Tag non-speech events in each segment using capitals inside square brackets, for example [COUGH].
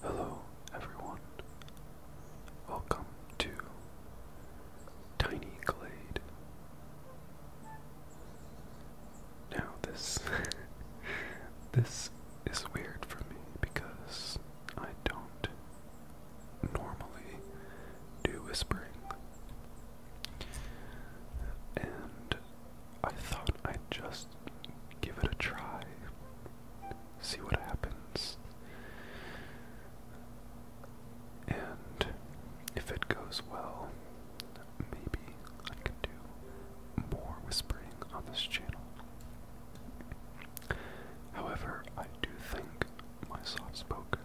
Hello, everyone. Welcome to Tiny Glade. Now this [LAUGHS] this is weird for me because I don't normally do whispering. And I thought I'd just give it a try, see what happens. And if it goes well, maybe I can do more whispering on this channel. However, I do think my soft spoken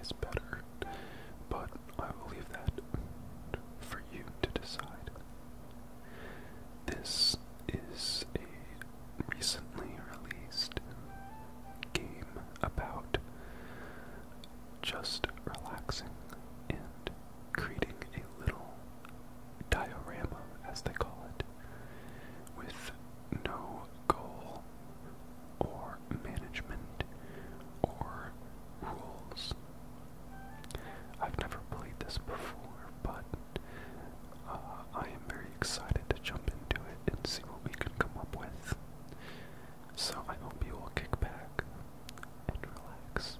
is better, but I will leave that for you to decide. This is a recently released game about just relaxing and creating a little diorama, as they call it, with no goal or management or rules I've never played this before, but uh, I am very excited to jump into it and see what we can come up with. So I hope you will kick back and relax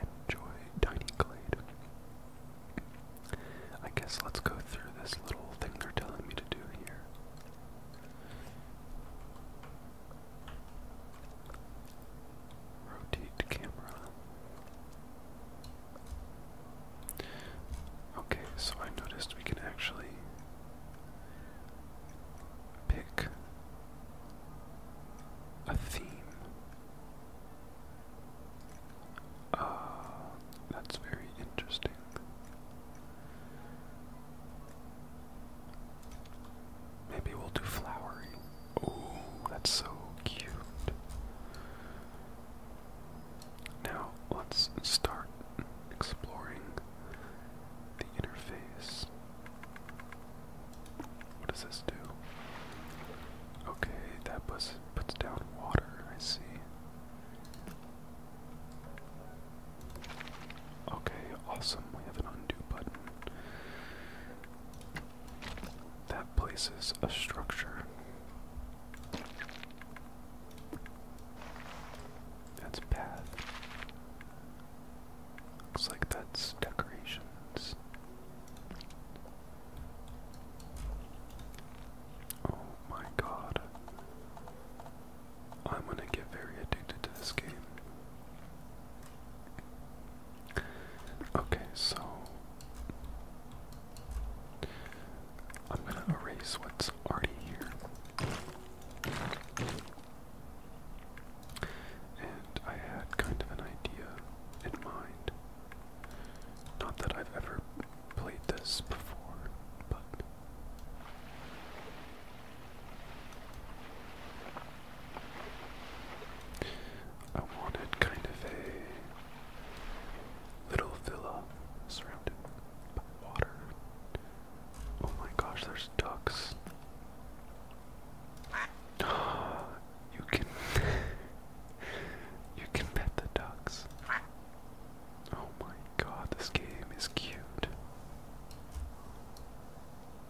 and enjoy Tiny Glade. I guess let's go through this little thing they're telling me to do here. Rotate camera. Okay, so I noticed we can actually pick a theme. Uh, that's very interesting. Maybe we'll do flowery. Oh, that's so cute. Now let's start exploring the interface. What does this do? Okay, that puts puts down water, I see. Okay, awesome. We have an undo button. That places a structure. That's path. Looks like that's decorations. Oh my god. I'm gonna get very addicted to this game. Okay, so I'm going to erase what's already here. And I had kind of an idea in mind. Not that I've ever played this before, but I wanted kind of a little villa surrounded by water. Oh my gosh, there's ducks. [GASPS] you can [LAUGHS] you can pet the ducks. Oh my god, this game is cute.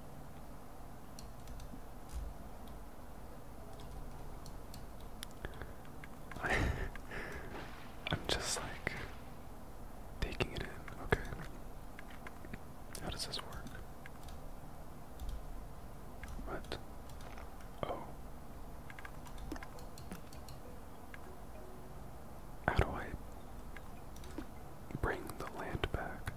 [LAUGHS] I'm just like taking it in. Okay. How does this work? What? Oh. How do I bring the land back?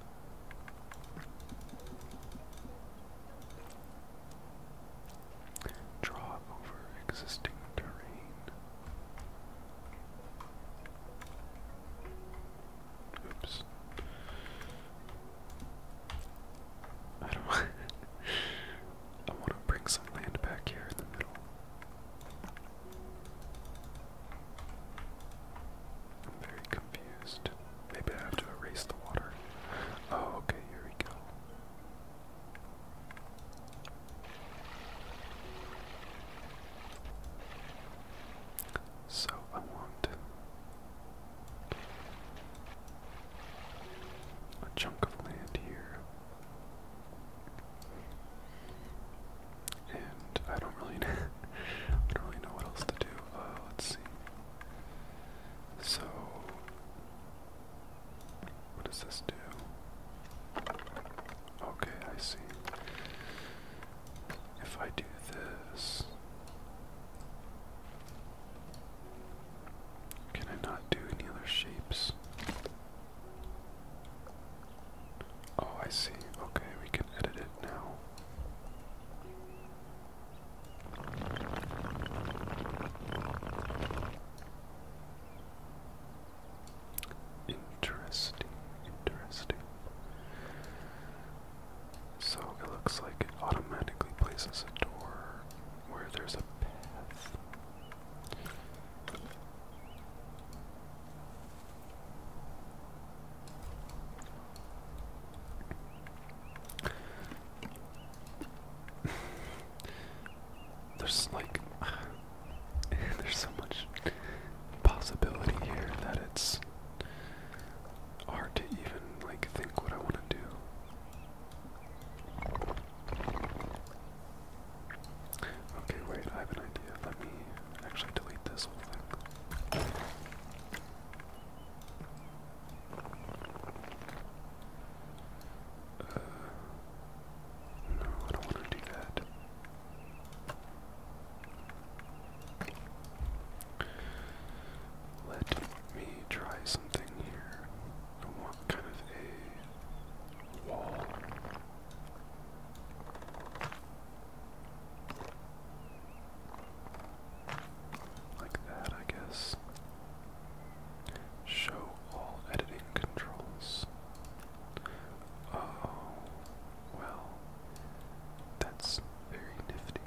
Draw over existing terrain. Oops. I don't [LAUGHS] I want to bring some land back here in the middle. I'm very confused. Maybe I have to erase the water. Oh, okay, here we go. So I want a chunk of land here. And I don't really [LAUGHS] know what else to do. Uh, let's see. So, what does this do? Okay, I see. If I do this, can I not do any other shapes? Oh, I see. Okay, we can edit it now. Interesting, interesting. So it looks like it automatically places a door where there's a path. [SIGHS] There's like, [SIGHS] there's so much possibility here that it's hard to even like think what I want to do. Okay, wait, I have an idea. Let me actually delete this whole thing. Uh, no, I don't want to do that. Let me try something here. I kind of a wall. Like that, I guess. Show all editing controls. Oh, well, that's very nifty.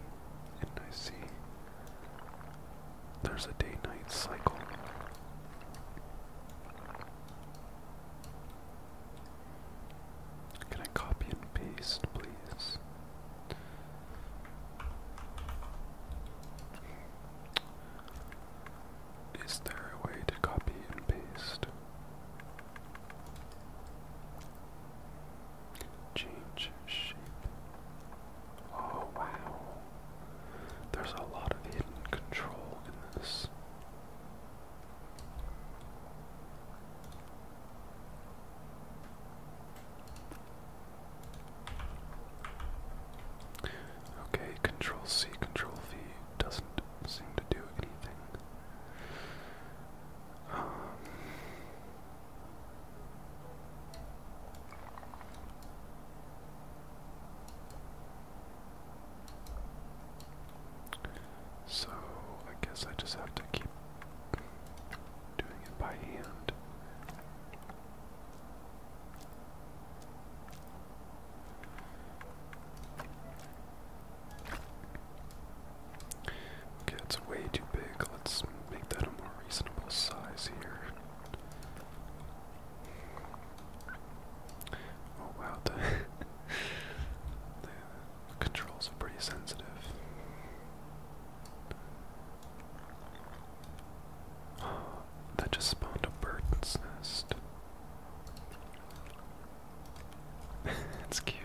And I see there's a day night cycle. Can I copy and paste, please? Is there a way to copy and paste? Change shape. Oh wow. There's a lot of hidden control in this. Okay, Control C, Control V doesn't seem to do anything. Um, so I guess I just have to keep doing it by hand. Okay, it's way too big. Let's make that a more reasonable size here. Oh wow, [LAUGHS] controls are pretty sensitive. [GASPS] that just spawned a bird's nest. [LAUGHS] it's cute.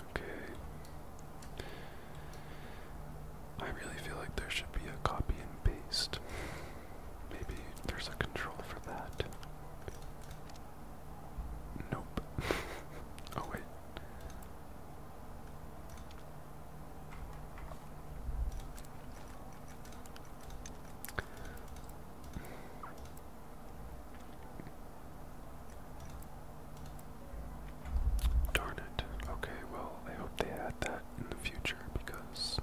Okay. I really feel like there should be a copy and paste. Maybe there's a control for that. Nope. [LAUGHS] oh, wait. Darn it. Okay, well, I hope they add that in the future because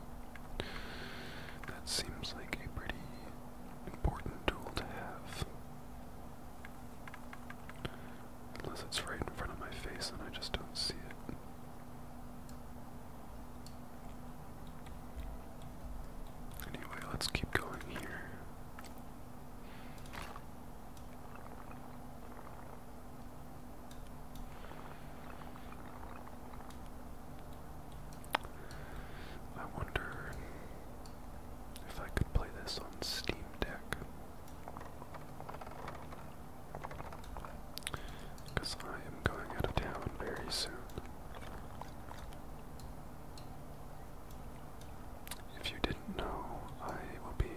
that seems like a pretty important tool to have. Unless it's right in front of my face and I just don't see it. Anyway, let's keep going here. I wonder if I could play this on Steam Deck. Because I am going out of town very soon. If you didn't know, I will be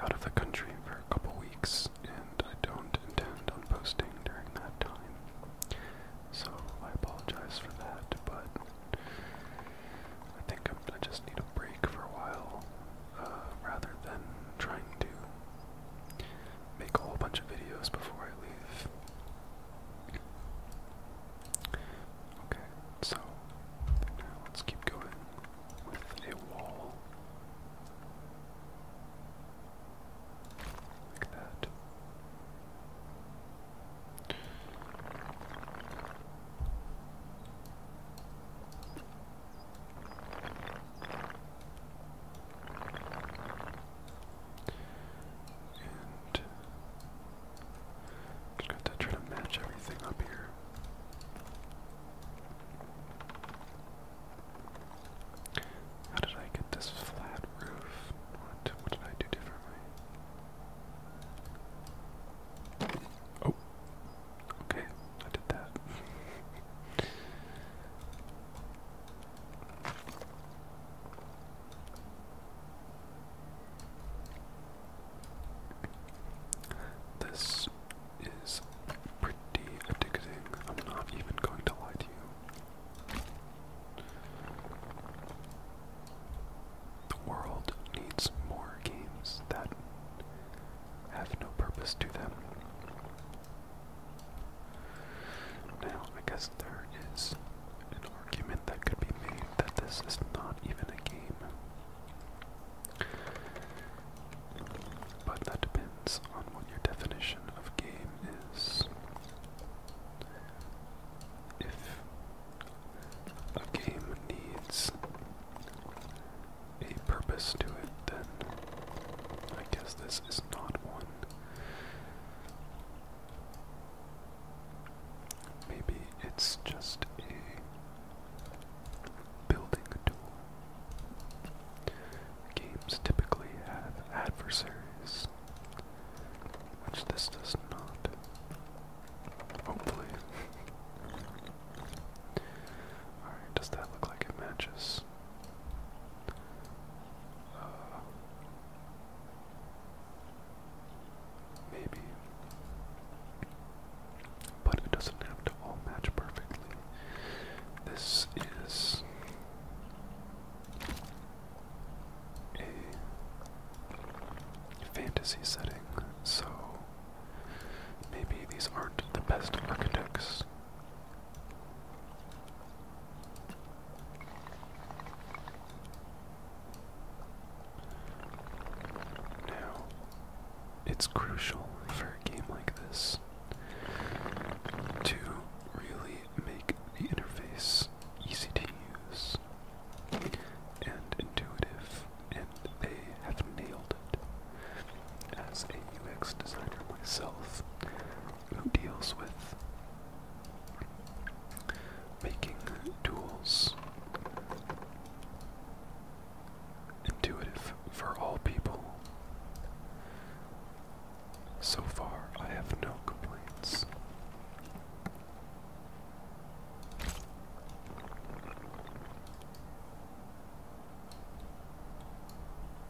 out of the country for a couple weeks, and I don't intend on posting during that time. So I apologize for that, but I think I'm, just need a break for a while uh, rather than trying to make a whole bunch of videos before I leave. Okay, so now let's keep going with a wall like that. And just got to try to match everything up here. How did I get this flat roof? What, what did I do differently? Oh, okay, I did that. [LAUGHS] This is pretty addicting. I'm not even going to lie to you. The world needs more games that have no purpose to them. Now, I guess there is an argument that could be made that this is not even a game. But that depends on what your definition of game is. If a game needs a purpose to it, then I guess this is not one. Maybe it's just a building tool. Games typically have adversaries, which this does not. Hopefully. [LAUGHS] Alright, does that look like it matches? this. maybe. But it doesn't have to all match perfectly. This is a fantasy setting, so maybe these aren't the best architects. Now, it's crucial for a game like this to really make the interface easy to use and intuitive, and they have nailed it. As a UX designer myself, who deals with making tools intuitive for all people. So far, I have no complaints.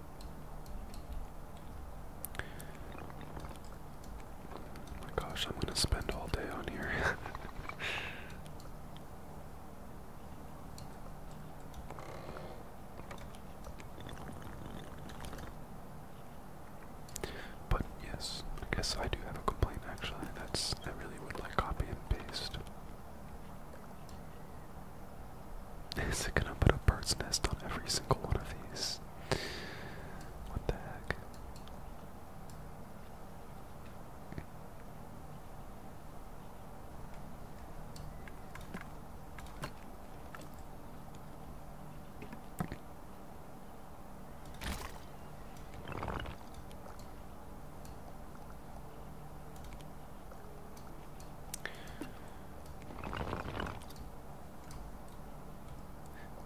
Oh my gosh, I'm gonna spend all day on here. [LAUGHS] But yes, I guess I do have a complaint actually. That's I really would like copy and paste. Is it gonna put a bird's nest on every single one of these? What the heck?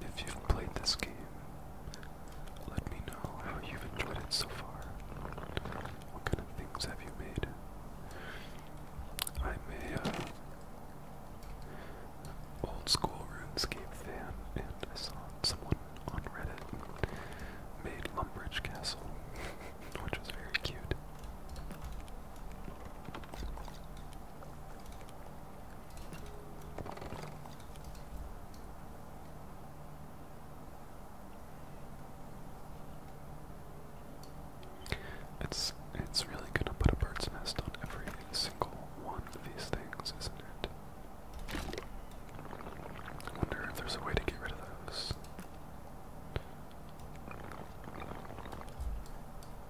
If you've played this game, let me know how you've enjoyed it so far. What kind of things have you made? I'm a uh, old school RuneScape fan, and I saw someone on Reddit made Lumbridge Castle, [LAUGHS] which was very cute. It's it's really gonna put a bird's nest on every single one of these things, isn't it? I wonder if there's a way to get rid of those.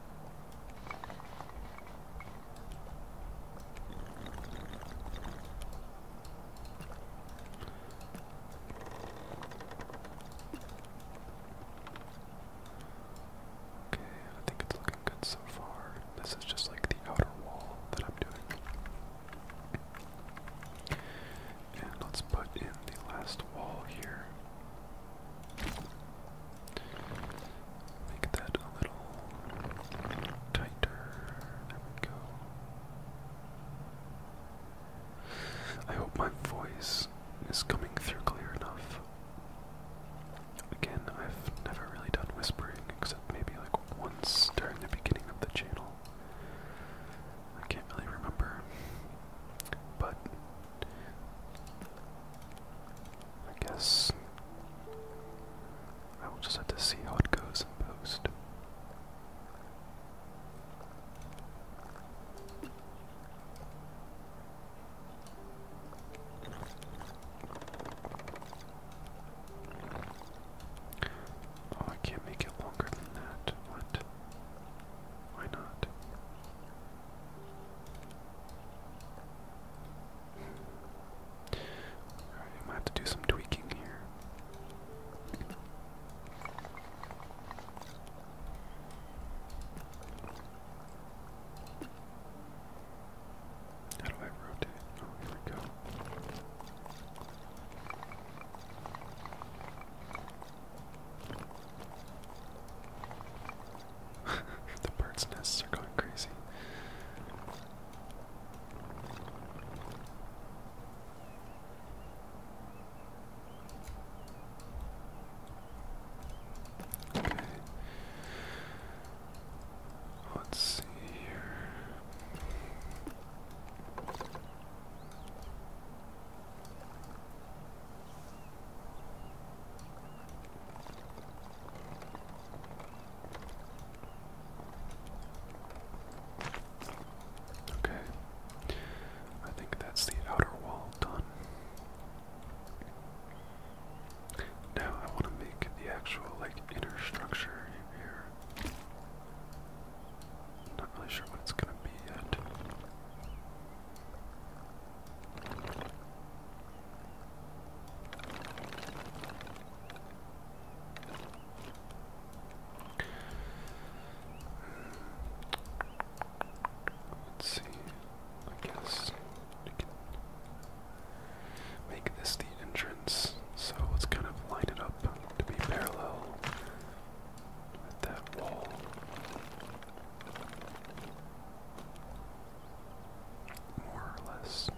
Okay, I think it's looking good so far. This is just like the outer wall that I'm doing. And let's put in the last wall here. Make that a little tighter. There we go. I hope my voice is coming through clear enough. Again, I've never really done whispering except maybe like once during the beginning of the channel. I can't really remember. But I guess I will just have to see how it goes in post. Oh, I can't make it longer than that. What? Why not? I might have to do some tweaking here. How do I rotate? Oh, here we go. [LAUGHS] the birds' nests are going crazy. Let's see here. Okay. I think that's the outer wall done. Now I want to make the actual like inner structure here. not really sure what it's gonna be yet. Let's see. I guess we can make this the entrance. So let's kind of line it up to be parallel at that wall. More or less.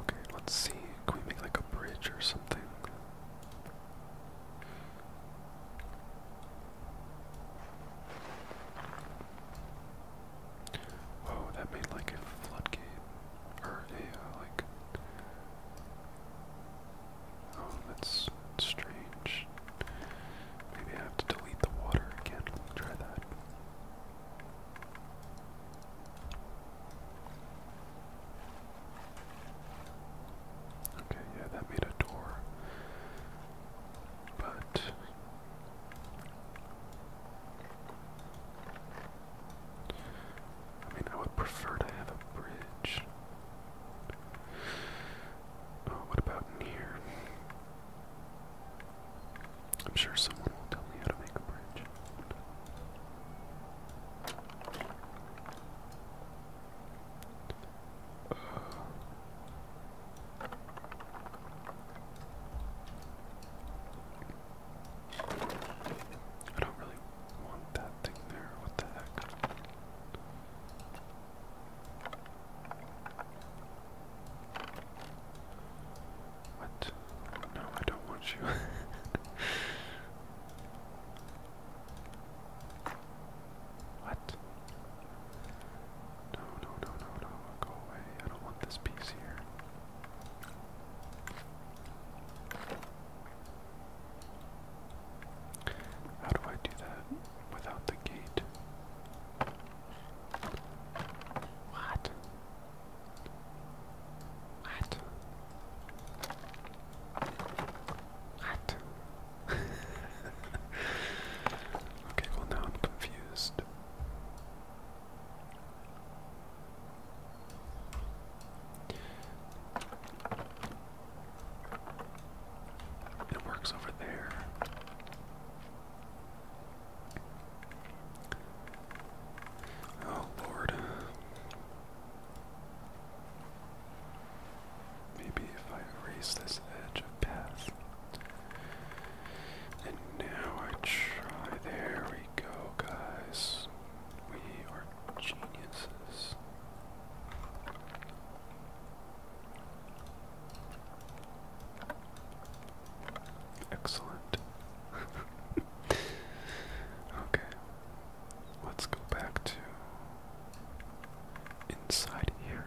Okay, let's see. Can we make like a bridge or something? Whoa, that made like a floodgate. Or a, like. Oh, that's strange. Maybe I have to delete the water again. Try that. Okay, yeah, that made a door. But I mean, I would prefer to have a bridge. Oh, what about here? I'm sure someone will tell me how to make a bridge. I don't really want that thing there. What the heck? What? No, I don't want you. [LAUGHS] What? No, no, no, no, no. Go away. I don't want this piece here. How do I do that without the gate? What? What? What? [LAUGHS] okay, well now I'm confused. It works over there. Oh, Lord. Maybe if I erase this edge of path. And now I try. There we go, guys. We are geniuses. Excellent. [LAUGHS] okay. Let's go back to inside here.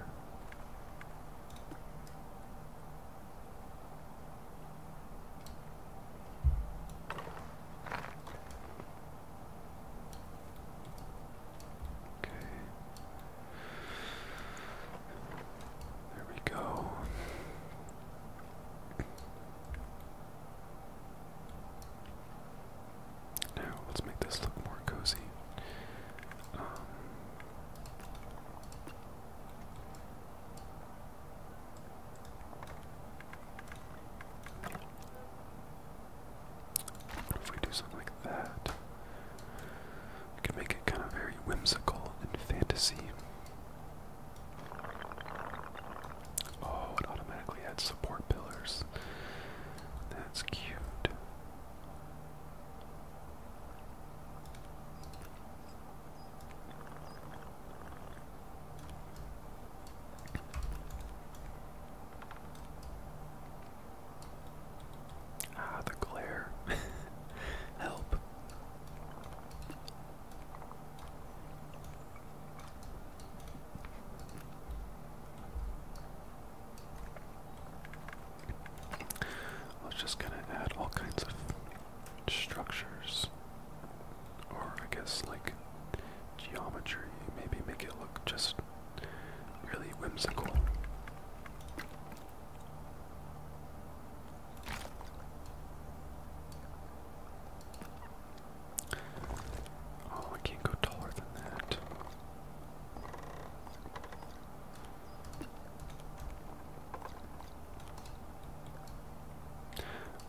Okay. There we go. Now let's make this look more cozy. Um, what if we do something like that? We make it kind of very whimsical and fantasy. Oh, it automatically adds support pillars. That's cute. Ah, the glare. [LAUGHS] Help. I was just gonna add all kinds of structures, or I guess like geometry, maybe make it look just really whimsical. Oh, I can't go taller than that.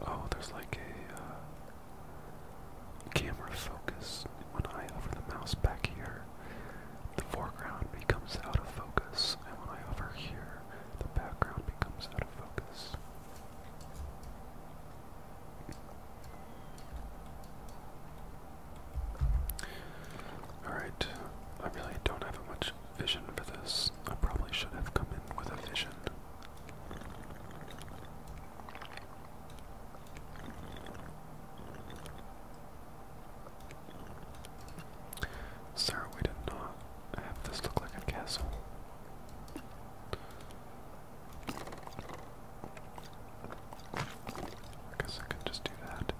Oh, there's like a uh, camera focus. When I hover the mouse back here, the foreground becomes out of focus, and when I hover here, the background becomes out of focus. Alright, I really don't have much vision for this. I probably should have come in with a vision. Sarah, we did not have this look like a castle. I guess I can just do that.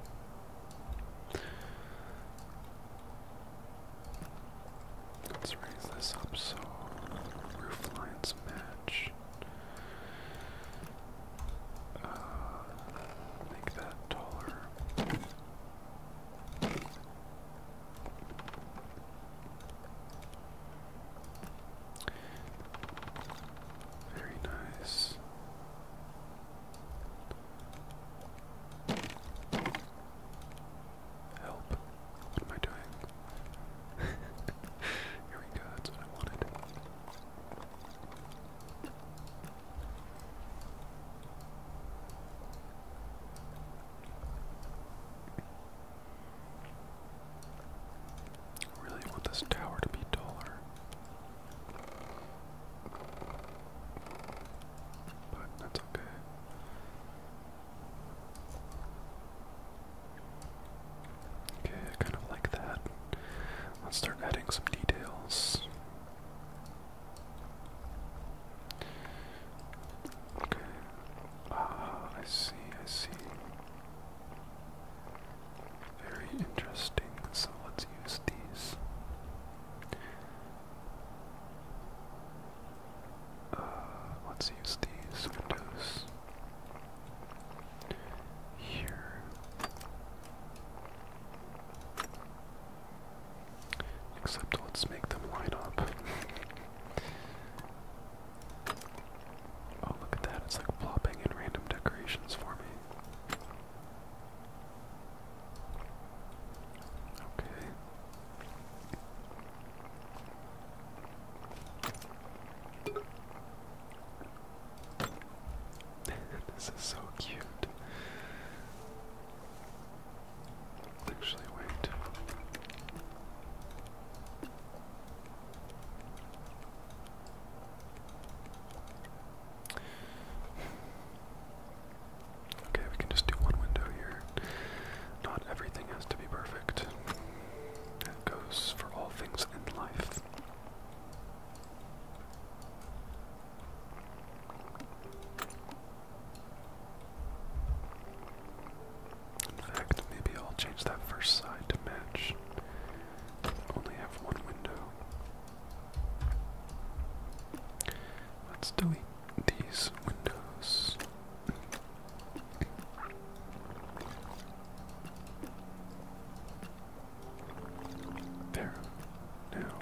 Let's raise this up so roof match. Uh, make that taller. Very nice. Help. What am I doing? [LAUGHS] Here we what I wanted. I really want this tower to be taller. But that's okay. Okay, kind of like that. Let's start adding some details. Okay. Ah, I see, I see. Very interesting. So let's use these. Uh, let's use these windows here. Except let's make them line up. [LAUGHS] Oh, look at that. It's like plopping in random decorations for me. Okay. [LAUGHS] this is so cute. Actually, wait. Okay, we can just do one window here. Not everything has to be perfect. That goes for all things in life. In fact, maybe I'll change that first side to match. Only have one window. Let's delete these windows. There. Now,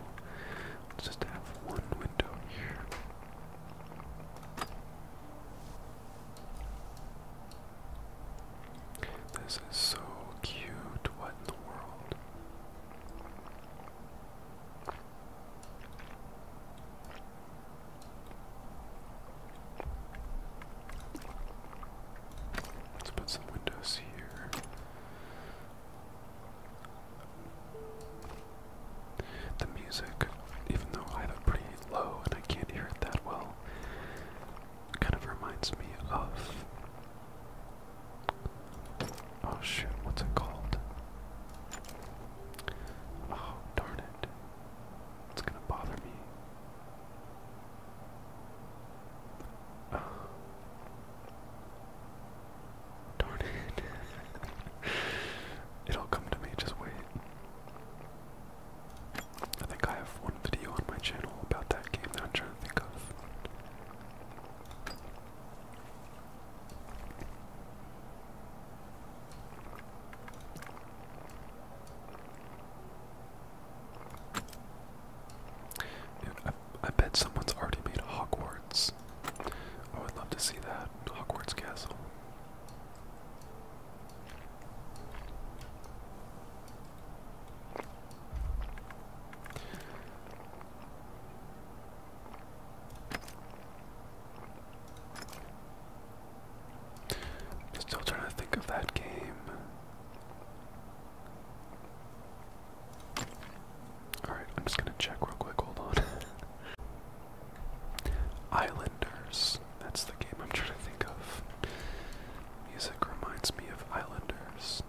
just have one window here. This is so cute. What in the world? Let's put some windows here. The music, even though I have it pretty low and I can't hear it that well, kind of reminds me of. Oh shoot, what's it called? Oh, darn it. It's gonna bother me. Oh. Darn it. [LAUGHS] It'll come to me, just wait. I think I have one video on my channel about that game that I'm trying to think of. Dude, I, I bet someone's already made Hogwarts. I would love to see that. Hogwarts Castle still trying to think of that game. Alright, I'm just gonna check real quick, hold on. [LAUGHS] Islanders. That's the game I'm trying to think of. Music reminds me of Islanders.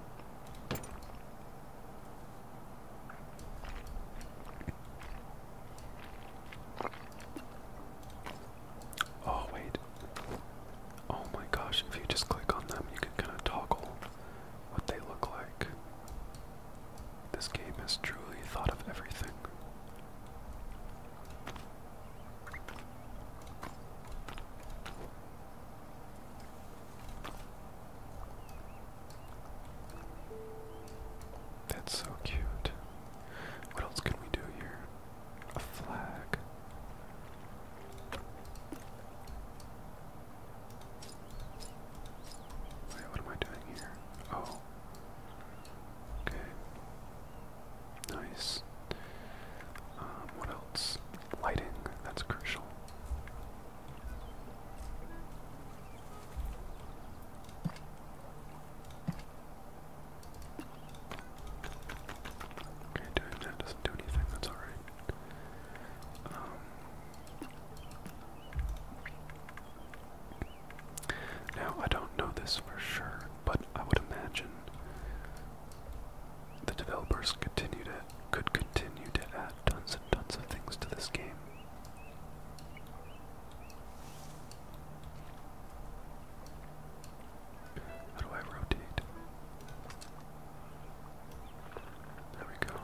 Oh, wait. Oh my gosh, if you just click on them, you can kind of toggle what they look like. This game has truly thought of everything. That's so cute. What else can we do here? A flag. Wait, what am I doing here? Oh. Okay. Nice. Um, what else? Lighting. That's crucial. Okay, doing that doesn't do anything, that's alright. Um, now, I don't know this for sure, but I would imagine the developers continue to, could continue to add tons and tons of things to this game. How do I rotate? There we go.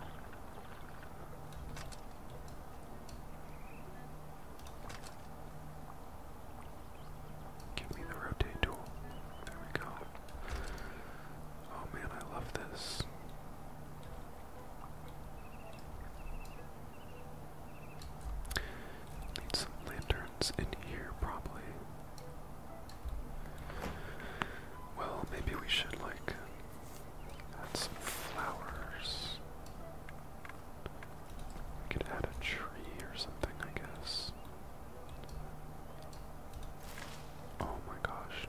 Give me the rotate tool. There we go. Oh man, I love this. Need some lanterns in here, probably. Well, maybe we should, like, add some flowers. We could add a tree or something, I guess. Oh my gosh.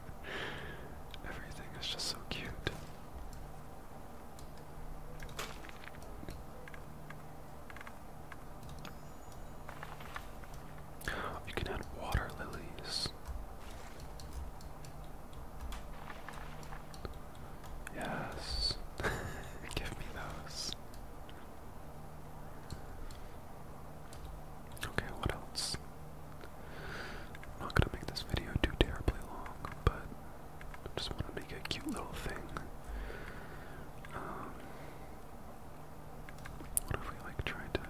[LAUGHS] Everything is just so cute. You can add water lilies. Yes. [LAUGHS] Give me those. Okay, what else? I'm not gonna make this video too terribly long, but just want to make a cute little thing. Um, what if we like try to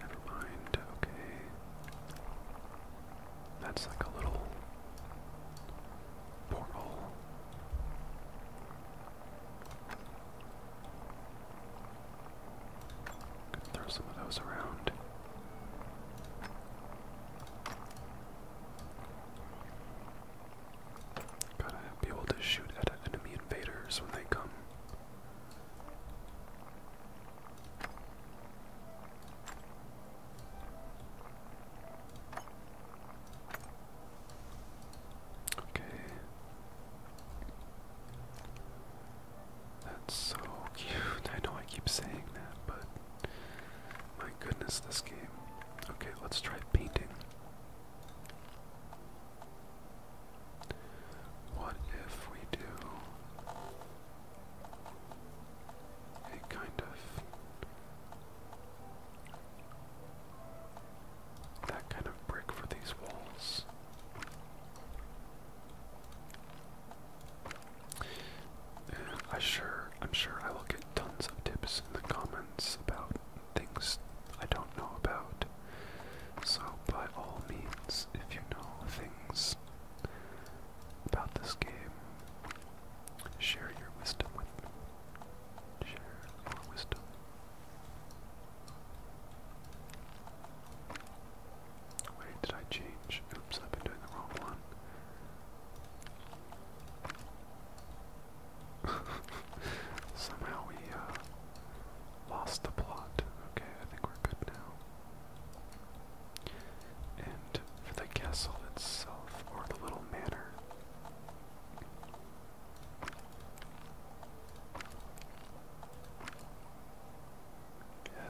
Never mind, okay. That's like a little portal. Could throw some of those around. Gotta be able to shoot at enemy invaders when they come. Okay. That's so cute. I know I keep saying that, but my goodness, this game. Okay, let's try painting. What if we do a kind of that kind of brick for these walls? And I sure I'm sure I will get tons of tips in the comments about things I don't know about. So, by all means, if you know things about this game, share your wisdom with me. Share your wisdom. Wait, did I change? Oops, I've been doing the wrong one. [LAUGHS] Somehow we, uh, lost the plot. Okay, I think we're good now. And for the castle itself, or the little manor.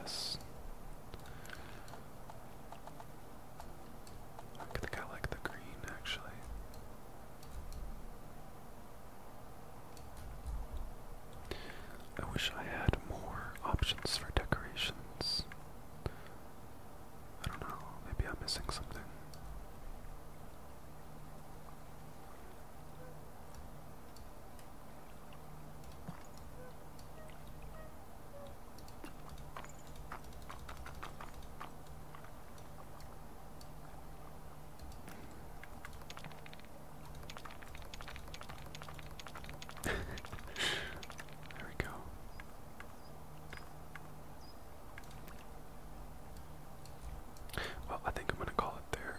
Yes. I think I like the green actually. I wish I had more options for decorations. I don't know, maybe I'm missing something there we go. Well, I think I'm going to call it there.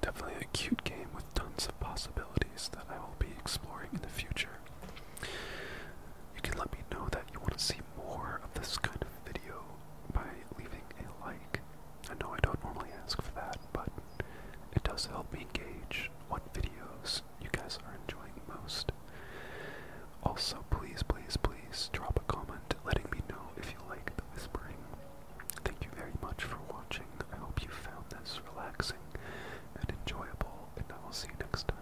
Definitely a cute game with tons of possibilities that I will be exploring in the future. You can let me know that you want to see more of this kind of video by leaving a like. I know I don't normally ask for that, but it does help me gauge what videos you guys are enjoying most. Also, please, please, please drop a comment letting me know if you like the whispering. Thank you very much for watching. I hope you found this relaxing and enjoyable, and I will see you next time.